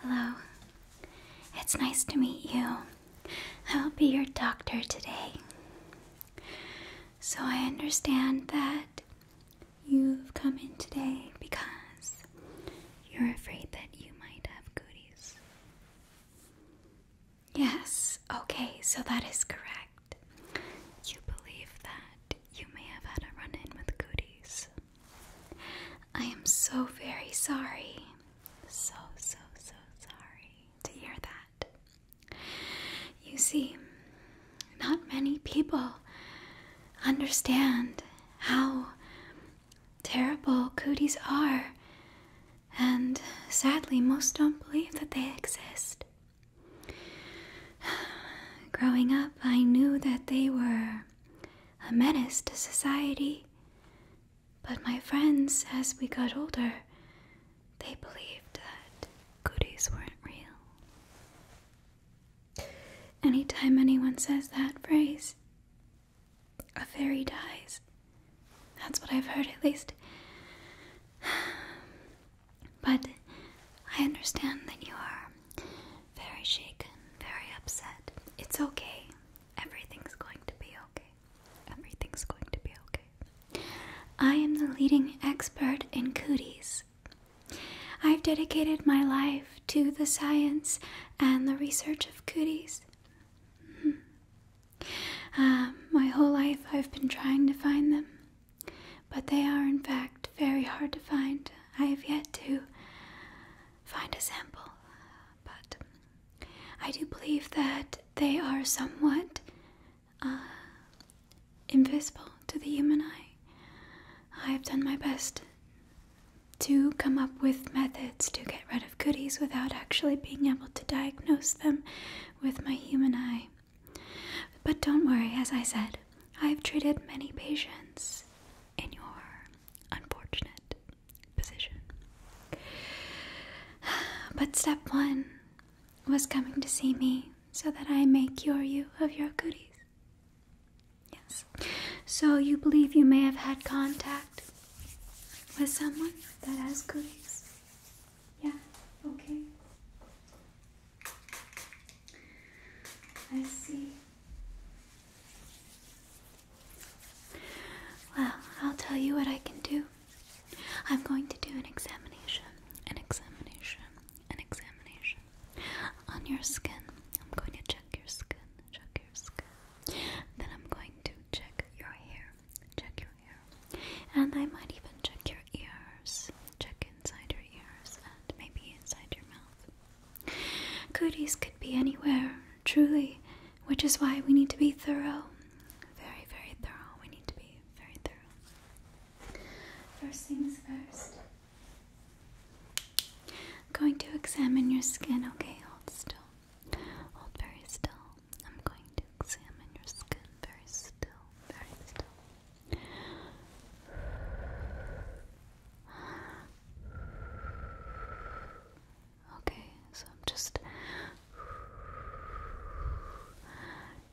Hello. It's nice to meet you. I'll be your doctor today. So I understand that you've come in today because you're afraid that you might have goodies. Yes, okay, so that is correct. You believe that you may have had a run in with goodies. I am so very sorry. So, so, so sorry to hear that. You see, not many people understand how terrible cooties are, and sadly, most don't believe that they exist. Growing up, I knew that they were a menace to society. But my friends, as we got older, they believed that goodies weren't real. Anytime anyone says that phrase, a fairy dies. That's what I've heard, at least. But I understand that you are very shaken, very upset. It's okay. Everything's going to be okay. Everything's going to be okay. I am the leading expert in cooties. I've dedicated my life to the science and the research of cooties. Hmm. Um, my whole life I've been trying to find them, but they are in fact very hard to find. I have yet to find a sample, but I do believe that they are somewhat uh, invisible to the human eye. I have done my best to come up with methods to get rid of goodies without actually being able to diagnose them with my human eye. But don't worry, as I said, I've treated many patients in your unfortunate position. But step one was coming to see me so that I may cure you of your goodies. Yes. So you believe you may have had contact with someone that has goodies? Yeah, okay. I see. Well, I'll tell you what I can do. I'm going to do an examination, an examination, an examination on your skin. I'm going to check your skin, check your skin. Then I'm going to check your hair, check your hair. And I might even check your ears, check inside your ears, and maybe inside your mouth. Cooties could be anywhere, truly, which is why we need to be thorough. Very, very thorough. We need to be very thorough. First things first. I'm going to examine your skin, okay? Hold still. Hold very still. I'm going to examine your skin very still. Very still. Okay, so I'm just.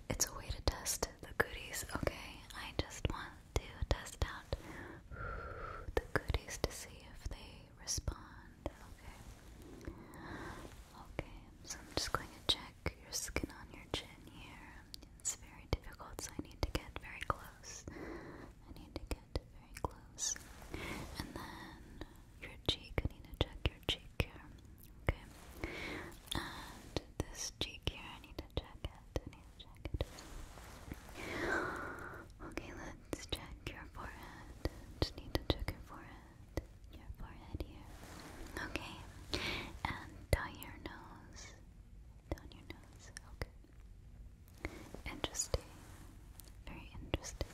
It's a way to test the goodies, okay? I just want to test out the goodies to see if they respond, okay? Okay, so I'm just going to check your skin on your chin here. It's very difficult, so I need to get very close. I need to get very close. And then your cheek, I need to check your cheek here. Okay. And this cheek here, I need to check it. I need to check it. Okay, let's check your forehead. Just need to check your forehead. Your forehead here. Okay. And down your nose. Down your nose. Okay. Interesting. Very interesting.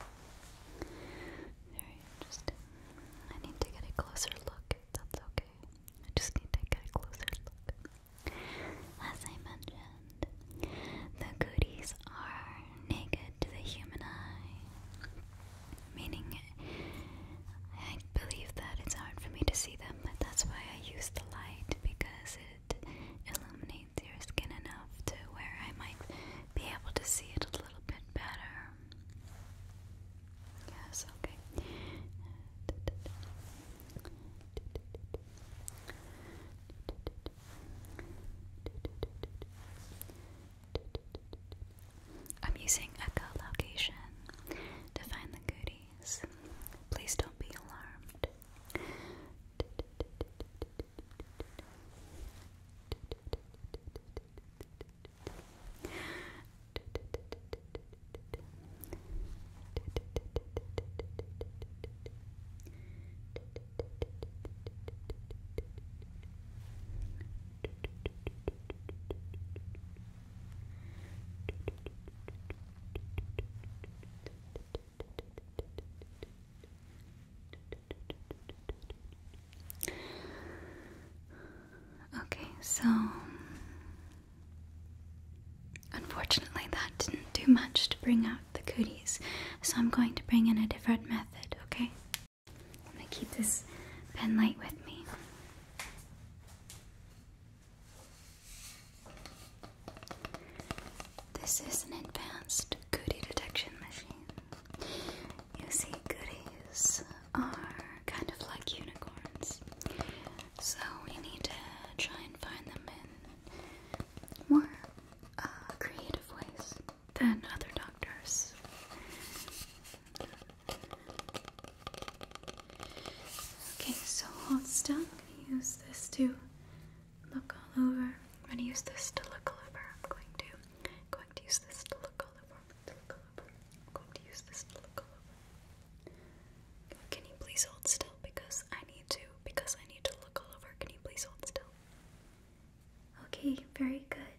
Very interesting. I need to get a closer look, that's okay. I just need to get a closer look. As I mentioned, the goodies are naked to the human eye. Meaning, I believe that it's hard for me to see them, but that's why I use the light because it illuminates your skin enough to where I might be able to see it a little bit better. Yes, okay. I'm using echo location to find the goodies. Please don't be alarmed. Okay, so unfortunately, that didn't do much to bring out the cooties, so I'm going to bring in a different method, okay? I'm gonna keep this pen light with me. This is an advanced goodie detection machine. You see, goodies are kind of like unicorns, so we need to try and find them in more uh, creative ways than other doctors. Okay, so hold still. I'm gonna use this to look all over. I'm gonna use this to look all over. I'm going to going to use this to look all over. look all over. going to use this to look all over. Can you please hold still? Because I need to because I need to look all over. Can you please hold still? Okay, very good.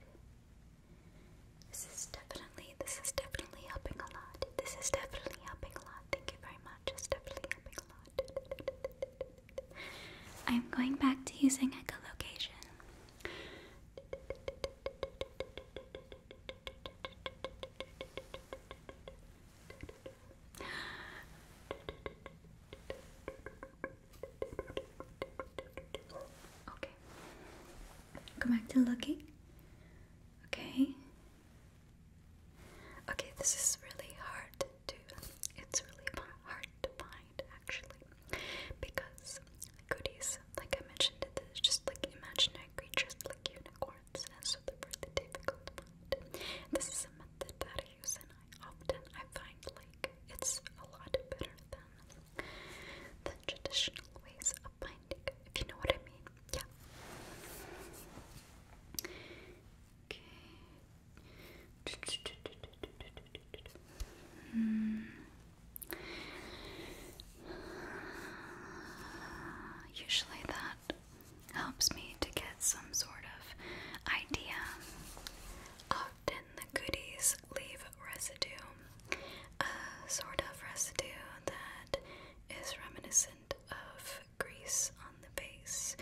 This is definitely this is definitely helping a lot. This is definitely helping a lot. Thank you very much much. It's definitely a lot. I'm going back to using echolocation. Okay. Come back to looking. Okay. Okay, this is really hard to, it's really hard to find actually, because goodies, like I mentioned, it is just like imaginary creatures like unicorns, and so they're really difficult to find. This is a method that I use, and I often I find like it's a lot better than than traditional ways of finding, if you know what I mean. Yeah. Okay. Usually that helps me to get some sort of idea. Often the goodies leave residue, a sort of residue that is reminiscent of grease on the face,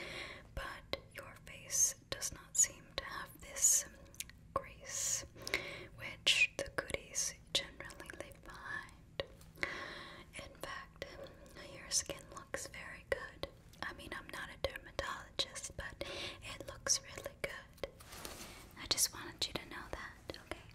but your face does not seem to have this grease, which the goodies generally leave behind. In fact, your skin looks very good. I mean, I'm not a dermatologist, but it looks really good. I just wanted you to know that, okay?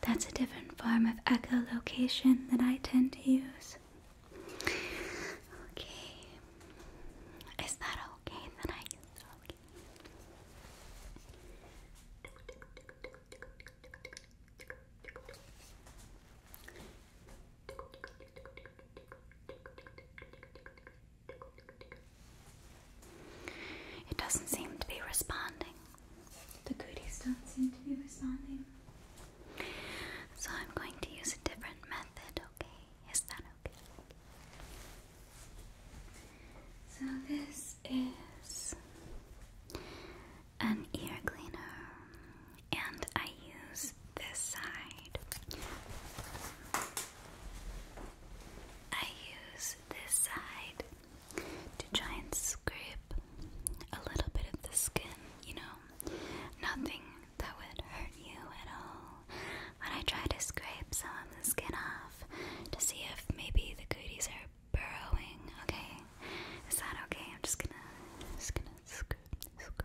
That's a different form of echolocation that I tend to use. Okay. Is that okay that I use it doesn't seem to be responding. The goodies don't seem to be responding. So I'm going to use a different method, okay? Is that okay? So this is an ear cleaner and I use this side. I use this side to try and scrape a little bit of the skin, you know, nothing that would hurt you at all. But I try to scrape some of the skin off to see if maybe the cooties are burrowing. Okay, is that okay? I'm just gonna, just gonna scrape, scrape,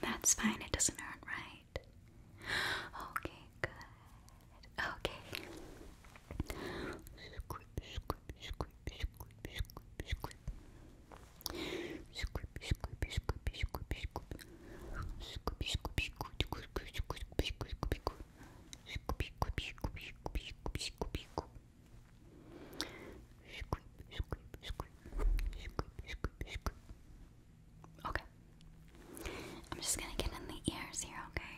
that's fine, it doesn't hurt, right? Okay, good. Okay scoop, scoop, scoop, scoop. Scoop, scoop, scoop, scoop, scoop. Scoop, scoop, scoop, scoop, scoop, scoop, scoop. Scoop, scoop, scoop, scoop, scoop, scoop, scoop. Scoop, scoop, scoop, scoop, scoop, scoop. Okay. I'm just gonna get in the ears here, okay?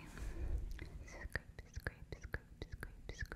Scrape, scrape, scrape, scrape,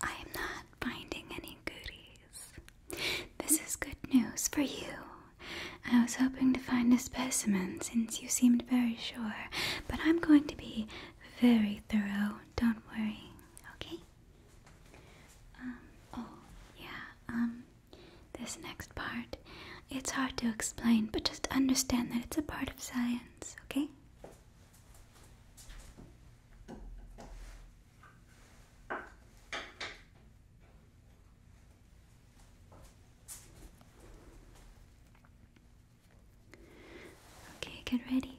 I am not finding any goodies. This is good news for you. I was hoping to find a specimen since you seemed very sure, but I'm going to be very thorough, don't worry, okay? Um, oh, yeah, um, this next part, it's hard to explain, but just understand that it's a part of science, okay? Okay, get ready.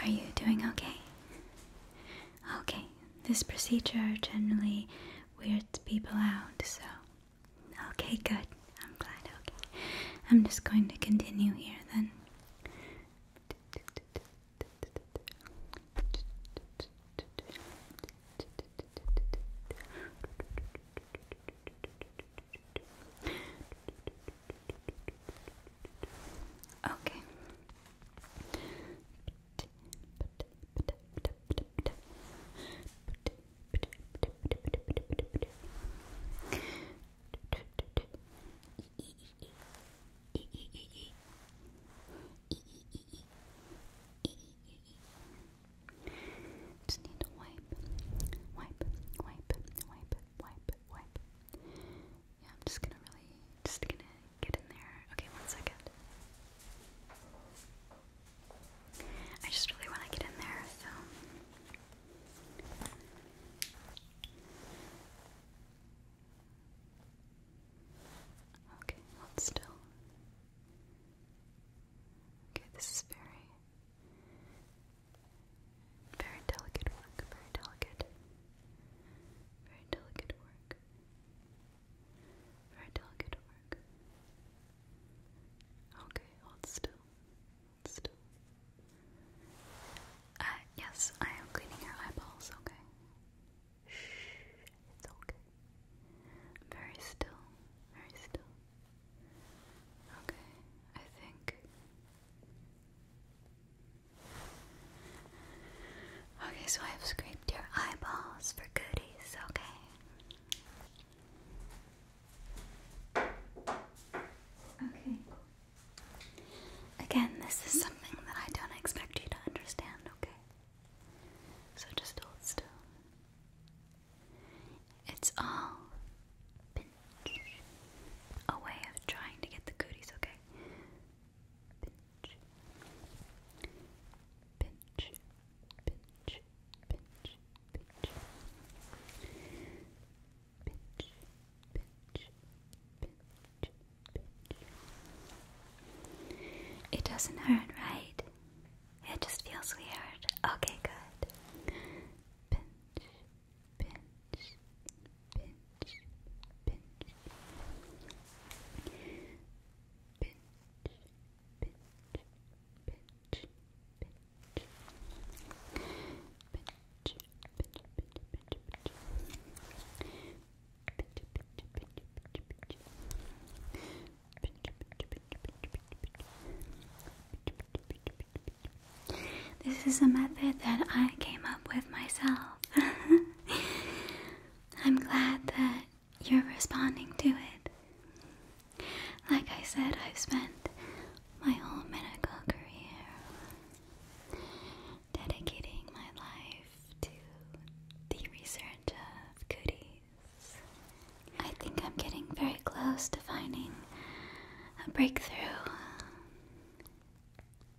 are you doing okay? Okay, this procedure generally weirds people out, so. Okay, good. I'm glad. Okay. I'm just going to continue here then. Okay. Just need wipe, wipe, wipe, wipe, wipe, wipe, yeah, I'm just gonna really, just gonna get in there. Okay, one second. I just really want to get in there, so. Okay, hold still. Okay, this is very, very delicate work, very delicate. Very delicate work. Very delicate work. Okay, hold still. still. Uh, yes, I am cleaning your eyeballs, okay? Shh, it's okay. Very still, very still. Okay, I think. Okay, so I've scraped your eyeballs for goodies, okay? Okay. Again, this is something that I don't expect you to understand, okay? So just hold still. It's all A way of trying to get the goodies, okay? pinch, pinch, pinch, pinch, pinch, pinch, pinch, pinch, pinch. It doesn't hurt, right? It just feels weird. Okay, good. Pinch, pinch, this is a method that I came up with myself. I'm glad that you're responding to it. Like I said, I've spent my whole medical career dedicating my life to the research of cooties. I think I'm getting very close to finding a breakthrough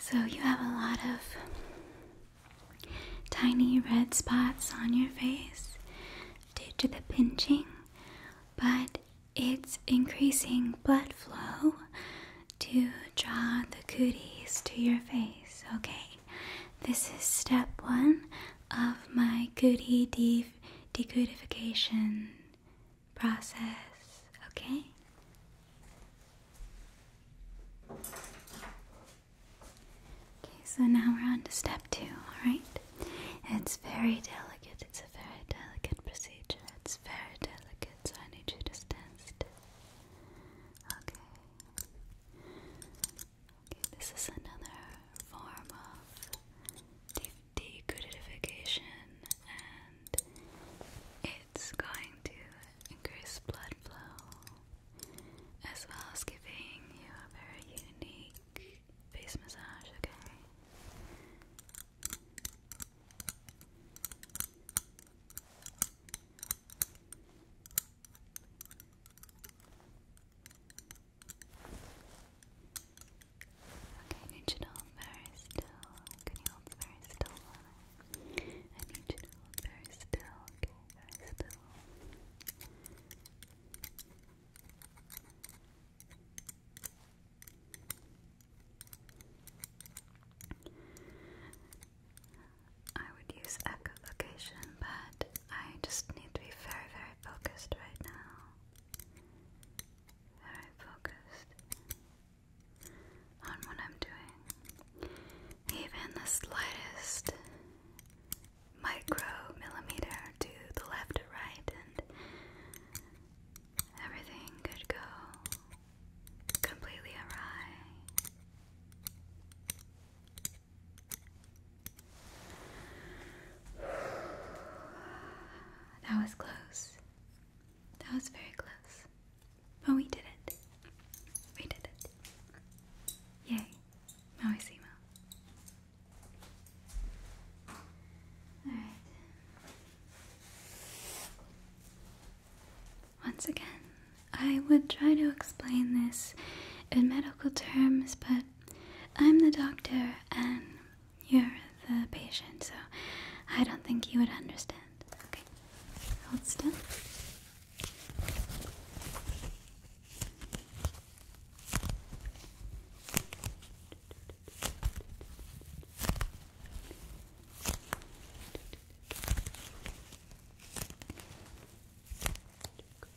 So, you have a lot of tiny red spots on your face due to the pinching, but it's increasing blood flow to draw the cooties to your face, okay? This is step one of my goody de decodification process, okay? Okay, so now we're on to step two, alright? It's very delicate, it's a very delicate procedure, it's very delicate, so I need you to stand still. Okay. This is another form of degrutification and it's going to increase blood flow as well as giving you a very unique face massage, okay? Okay, you to hold very still. Can you hold very still I need you to hold very still, okay, very still. I would use echolocation, but I just need to be very, very focused right now. Very focused on what I'm doing. Even the slightest micro millimeter to the left or right, and everything could go completely awry. That was close. That was very close. But we did it. We did it. Yay. Mauisimo. Alright. Once again, I would try to explain this in medical terms, but I'm the doctor and you're the patient, so I don't think you would understand. Okay, hold still.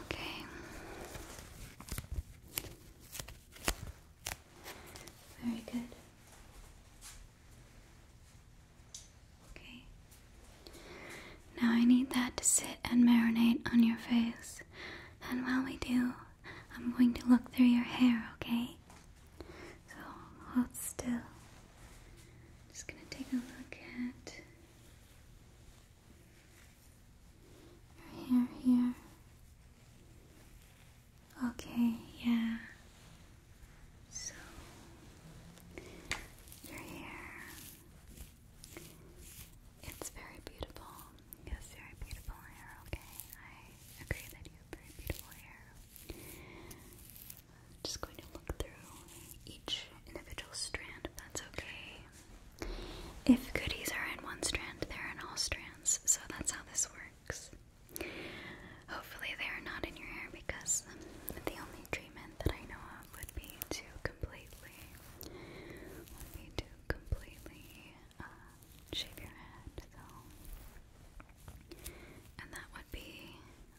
Okay. Very good. Okay. Now I need that to sit and marinate on your face. And while we do, I'm going to look through your hair, okay? So hold still. Just gonna take a look at your hair here. Okay, yeah. So your hair. It's very beautiful. Yes, very beautiful hair, okay. I agree that you have very beautiful hair. just going to look through each individual strand that's okay. If goodies are in one strand, they're in all strands, so that's how this works. Hopefully, they are not in your hair because the only treatment that I know of would be to completely, would be to completely uh, shave your head. and that would be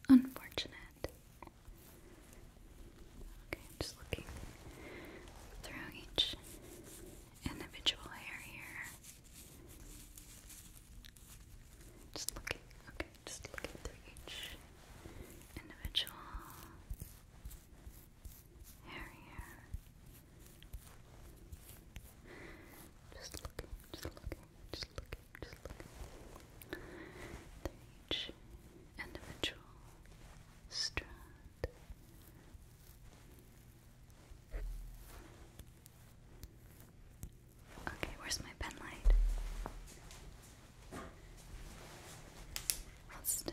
unfortunate. Okay, just looking through each individual hair here. Just looking, okay, just looking through each individual hair here. Just looking, just looking, just looking, just looking. Through each individual strand. Okay, where's my pen light? still.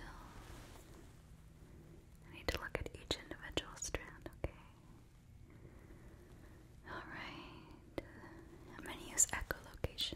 I need to look at each individual strand, okay? Alright. I'm gonna use echolocation.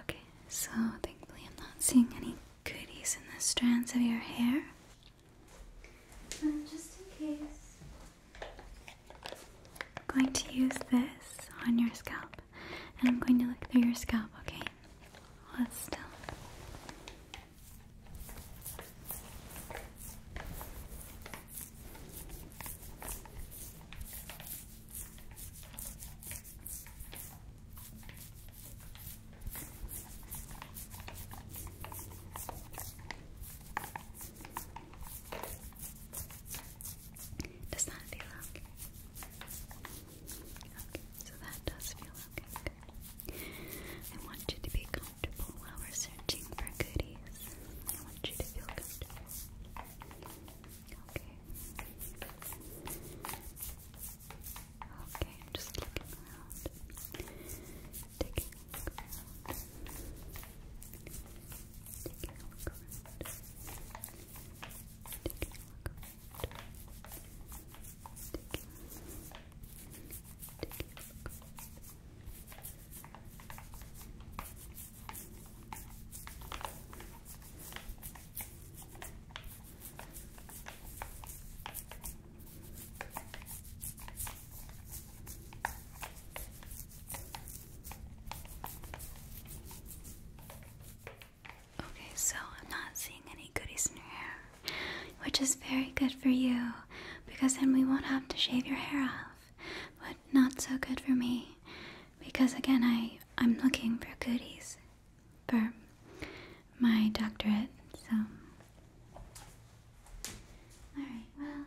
Okay, so thankfully I'm not seeing any goodies in the strands of your hair. And um, just in case, I'm going to use this on your scalp and I'm going to look through your scalp, okay? let's still. Does that feel okay? Okay, so that does feel okay. I want you to be comfortable while we're searching for goodies. I want you to feel comfortable. Okay. Okay, I'm just looking around. Taking a look around. Taking a look around. Taking a look around. Taking a look around. Taking a look around. Okay, so I'm not seeing any goodies in your hair, which is very good for you because then we won't have to shave your hair off. But not so good for me because again I I'm looking for goodies for my doctorate, so Alright, well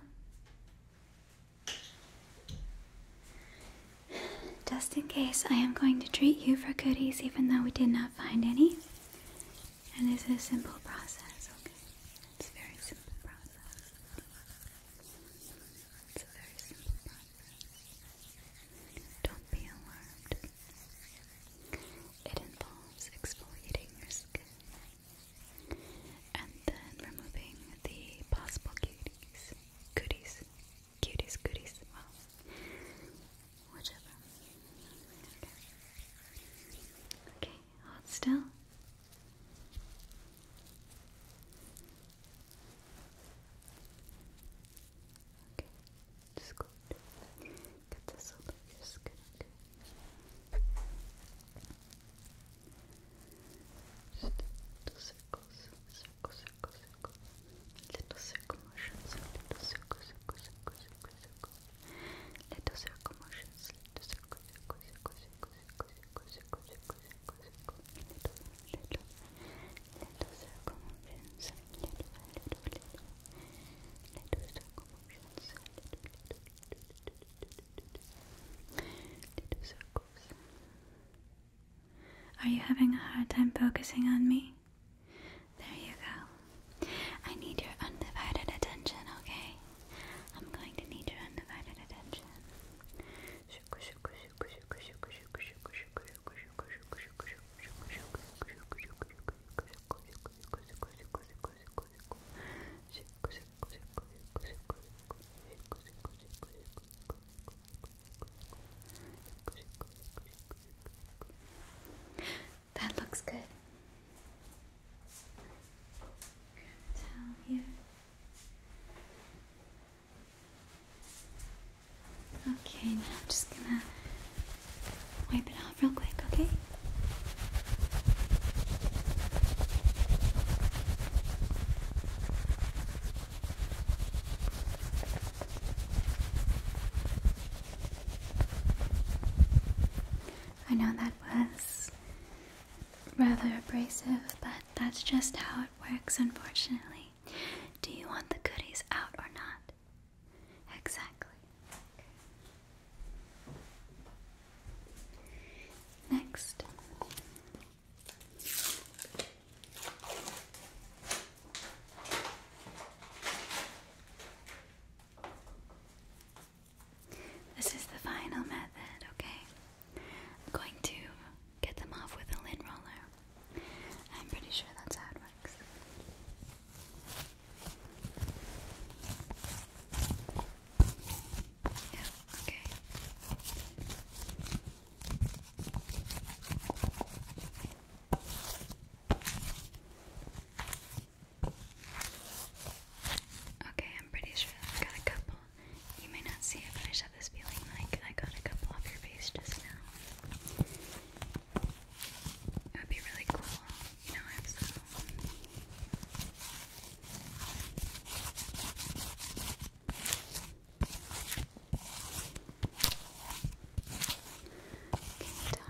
just in case I am going to treat you for goodies even though we did not find any. And this is a simple process, It's a very simple process. It's a very simple process. Don't be alarmed. It involves exfoliating your skin and then removing the possible cuties. Goodies. Cuties, goodies. Well, whichever. Okay, okay hold still. Okay, just go get this over your skin, okay? Just do circles, circle, circle, circle. Little circle motions, little circle, circle, circle, circle, circle. Little circle motions, little circle, circle, circle, circle. Are you having a hard time focusing on me? There you go. I need your undivided attention, okay? I'm going to need your undivided attention. That looks good. Down here. Okay, now I'm just gonna wipe it off real quick, okay? I know that was rather abrasive, but that's just how it works, unfortunately. Do you want the goodies out or not? Exactly. Next. This is the final method, okay? I'm going to get them off with a lint roller. I'm pretty sure that's how it works. Yeah, okay. Okay, I'm pretty sure I've got a couple. You may not see it, but I just have this feeling like I got a couple off your face just now. It would be really cool, um, down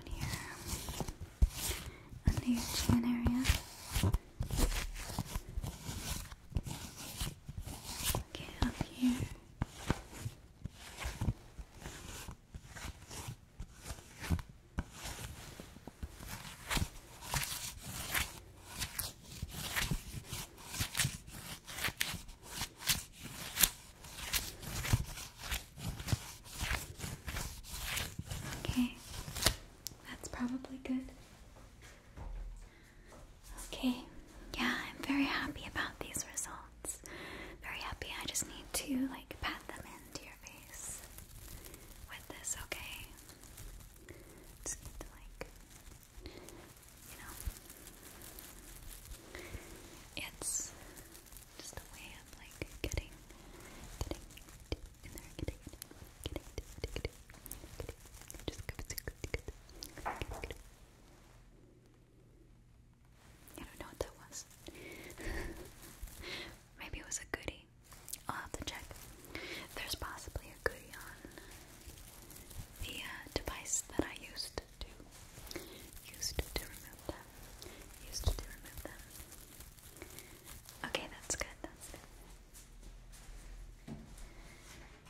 here, under your chin area. Okay, up here. Okay, that's probably good. Okay, yeah, I'm very happy about these results. Very happy. I just need to like pat them into your face with this, okay? Just to like, you know, it's just a way of like getting, getting in there, getting, getting, getting, getting, I don't know what that was. Maybe it was a goodie. I'll have to check. There's possibly a goodie on the uh, device that I used to used to remove them. Used to remove them. Okay, that's good. That's good.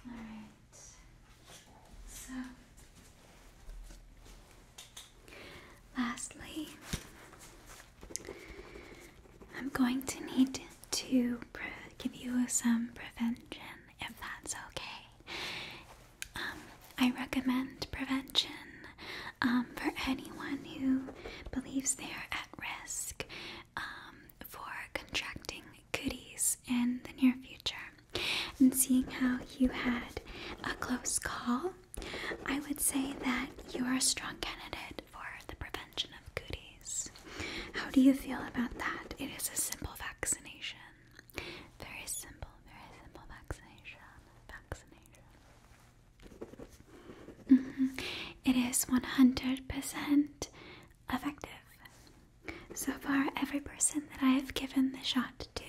Alright, so lastly, I'm going to need to give you some prevention if that's okay. Um, I recommend prevention um, for anyone who believes they are at risk um, for contracting goodies in the near future. And seeing how you had a close call, I would say that you are a strong candidate for the prevention of goodies. How do you feel about that? It is a simple vaccination. Very simple, very simple vaccination. Vaccination. Mm-hmm. It is 100% effective. So far, every person that I have given the shot to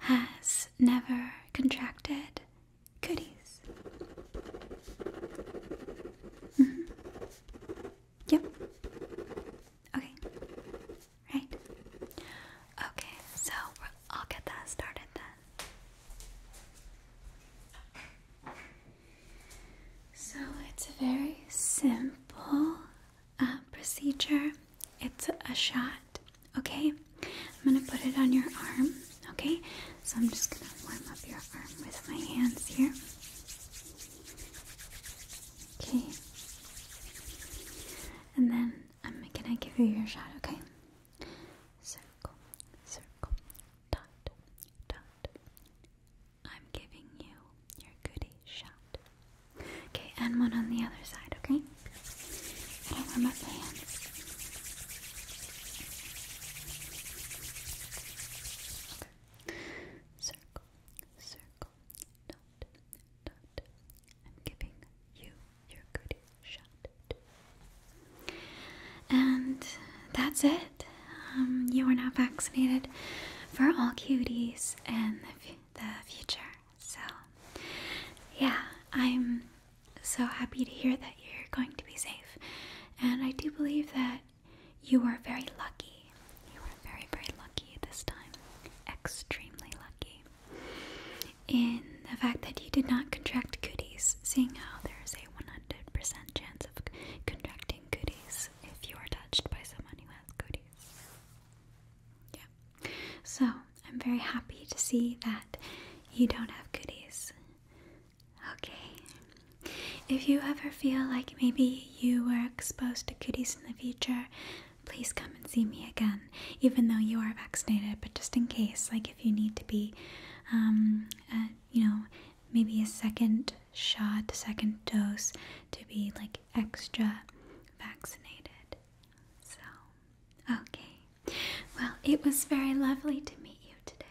has never contracted cooties. Mm mm-hmm. Yep. Okay. Right. Okay, so I'll get that started then. So it's a very simple uh, procedure. It's a shot, okay? I'm gonna put it on your arm, okay? So I'm just gonna warm up your arm with my hands here. Okay. And then I'm gonna give you your shot, okay? Circle, circle, dot, dot, I'm giving you your goodie shot. Okay, and one on the other side, okay? I warm my hands. Circle, circle, dot, dot. I'm giving you your goodie shot. And that's it. Um, you are now vaccinated for all cuties and the, future. So, yeah, I'm so happy to hear that you're going to be safe. And I do believe that you are very lucky. You are very, very lucky this time. Extremely lucky. In the fact that you did not contract cuties. seeing how there's a 100% chance of contracting goodies if you are touched by someone who has goodies. Yeah. So I'm very happy to see that you don't have goodies. Okay. If you ever feel like maybe you were exposed to goodies in the future, please come and see me again, even though you are vaccinated. But just in case, like if you need to be, um, uh, you know, maybe a second shot, second dose to be like extra vaccinated. So, okay. Well, it was very lovely to meet you today.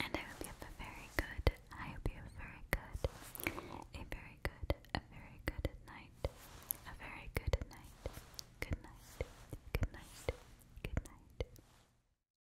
And I hope you have a very good, I hope you have a very good, a very good, a very good night. A very good night. Good night. Good night. Good night.